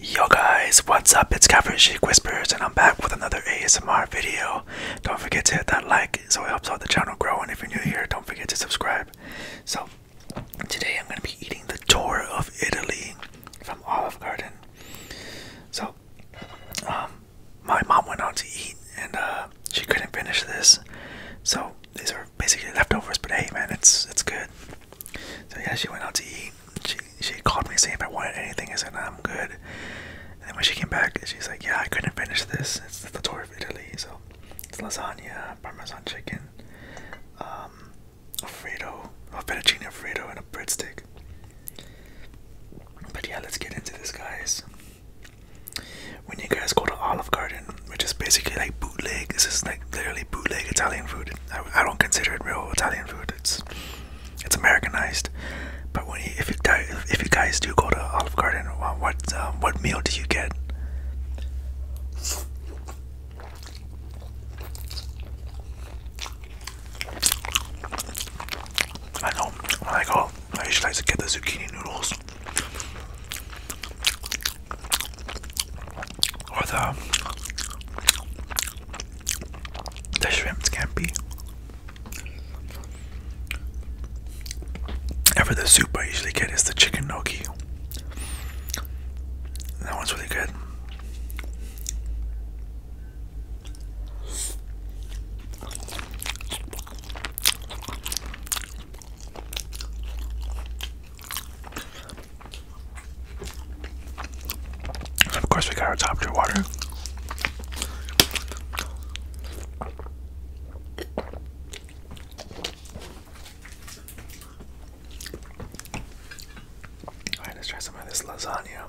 Yo guys, what's up? It's Catherine Chic Whispers and I'm back with another ASMR video. Don't forget to hit that like so it helps out the channel grow and if you're new here, don't forget to subscribe. So today I'm going to be eating the tour of Italy from Olive Garden. So um, my mom went out to eat and uh, she couldn't finish this. So these are basically leftovers, but hey man, it's it's good. So yeah, she went out to eat. She she called me saying if I wanted anything. I said I'm good. And when she came back, she's like, yeah, I couldn't finish this. It's the tour of Italy, so it's lasagna, parmesan chicken, um, alfredo, a fettuccine alfredo, and a breadstick. But yeah, let's get into this, guys. When you guys go to Olive Garden, which is basically like bootleg, this is like literally bootleg Italian food. I, don't consider it real Italian food. It's it's Americanized. But when if you if you guys do go to Olive Garden, what um, what meal do you get? I know. When I I usually like to get the zucchini noodles or the the shrimp scampi. be. for the soup, I usually get is the chicken gnocchi. That one's really good of course, we got our top tier water. Alright, let's try some of this lasagna.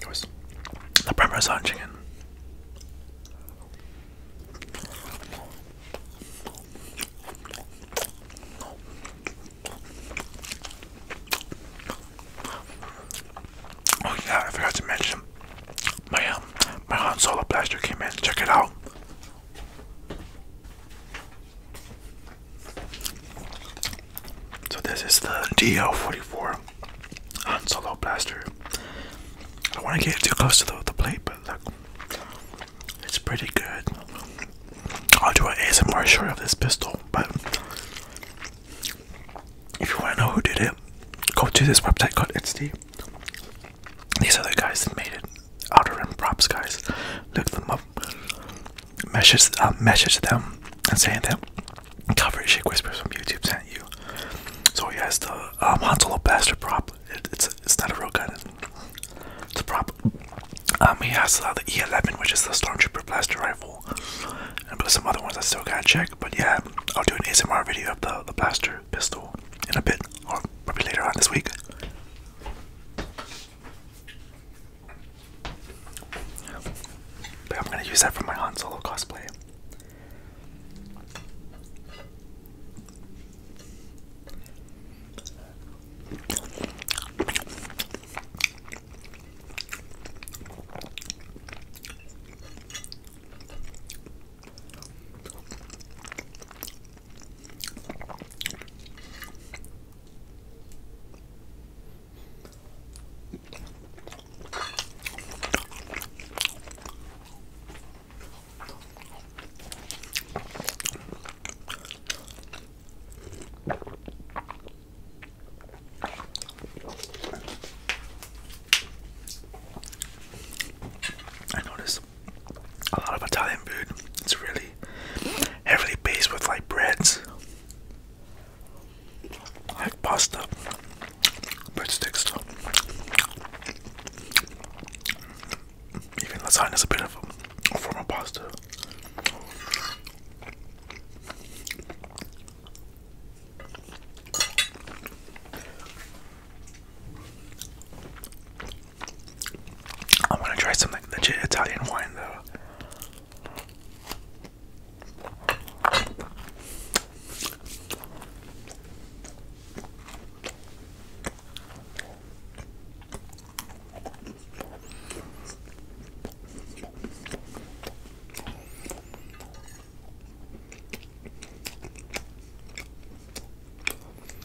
It was the Premier Sun chicken. Oh yeah, I forgot to mention my um my Han Solo blaster came in. Check it out. So this is the DL44 on Solo blaster. I don't want to get too close to the, the plate, but look, it's pretty good. I'll do an ASMR short of this pistol, but if you want to know who did it, go to this website called Etsy. These other guys that made it, Outer Rim Props guys. Look them up message uh, message them and saying that cover shake whispers from YouTube sent you. So he has the um, Hansel Bastard prop. it's it's not a real gun. It's a prop. Um, he has uh, the E11, which is the Stormtrooper blaster rifle, and but some other ones I still gotta check. But yeah, I'll do an ASMR video of the blaster pistol in a bit, or maybe later on this week. But I'm gonna use that for my Han Solo cosplay. I noticed a lot of Italian food. It's really heavily based with like breads, like pasta, breadsticks, even lasagna is a bit of a pasta. I want to try something legit Italian wine though.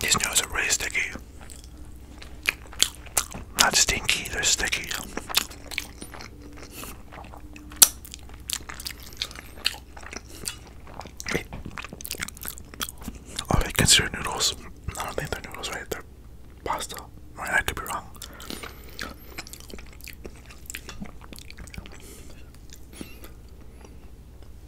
These noodles are really sticky. Not stinky, they're sticky. Oh, they consider noodles. I don't think they're noodles, right? They're pasta. I could be wrong.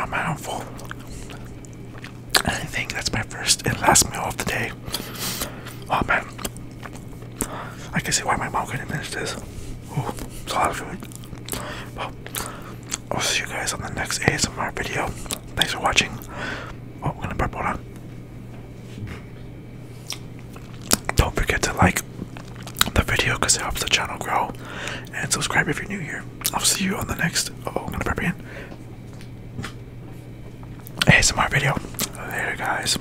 I'm full. I think that's my first and last meal of the day. Oh man, I can see why my mom couldn't finish this. Ooh, it's a lot of food. I'll see you guys on the next ASMR video. Thanks for watching. Oh, I'm gonna burp one on. Don't forget to like the video because it helps the channel grow. And subscribe if you're new here. I'll see you on the next. Oh, I'm gonna burp again. ASMR video. Later, guys.